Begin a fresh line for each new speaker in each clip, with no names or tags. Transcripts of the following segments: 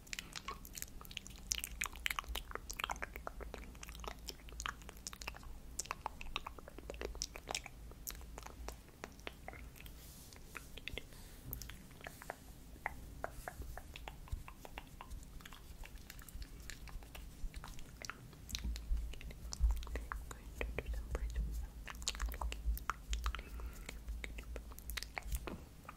I'm going to do some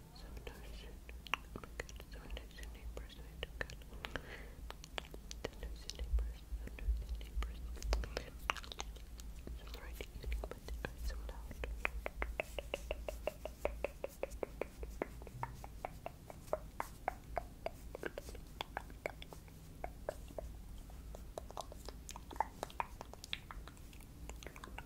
so nice oh my god, so nice and neighbors, I do good so nice and neighbors, so nice and neighbors it's alright evening, but they are so loud I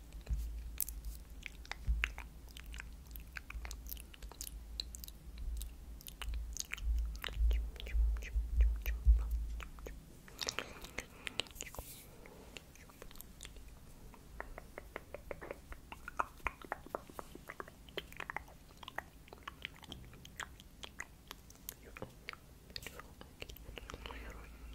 You're beautiful,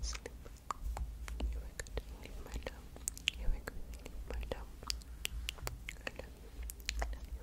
sleep. You are good. Leave my dumb. You are good. Leave my dumb. I love you. I love you. Thank you.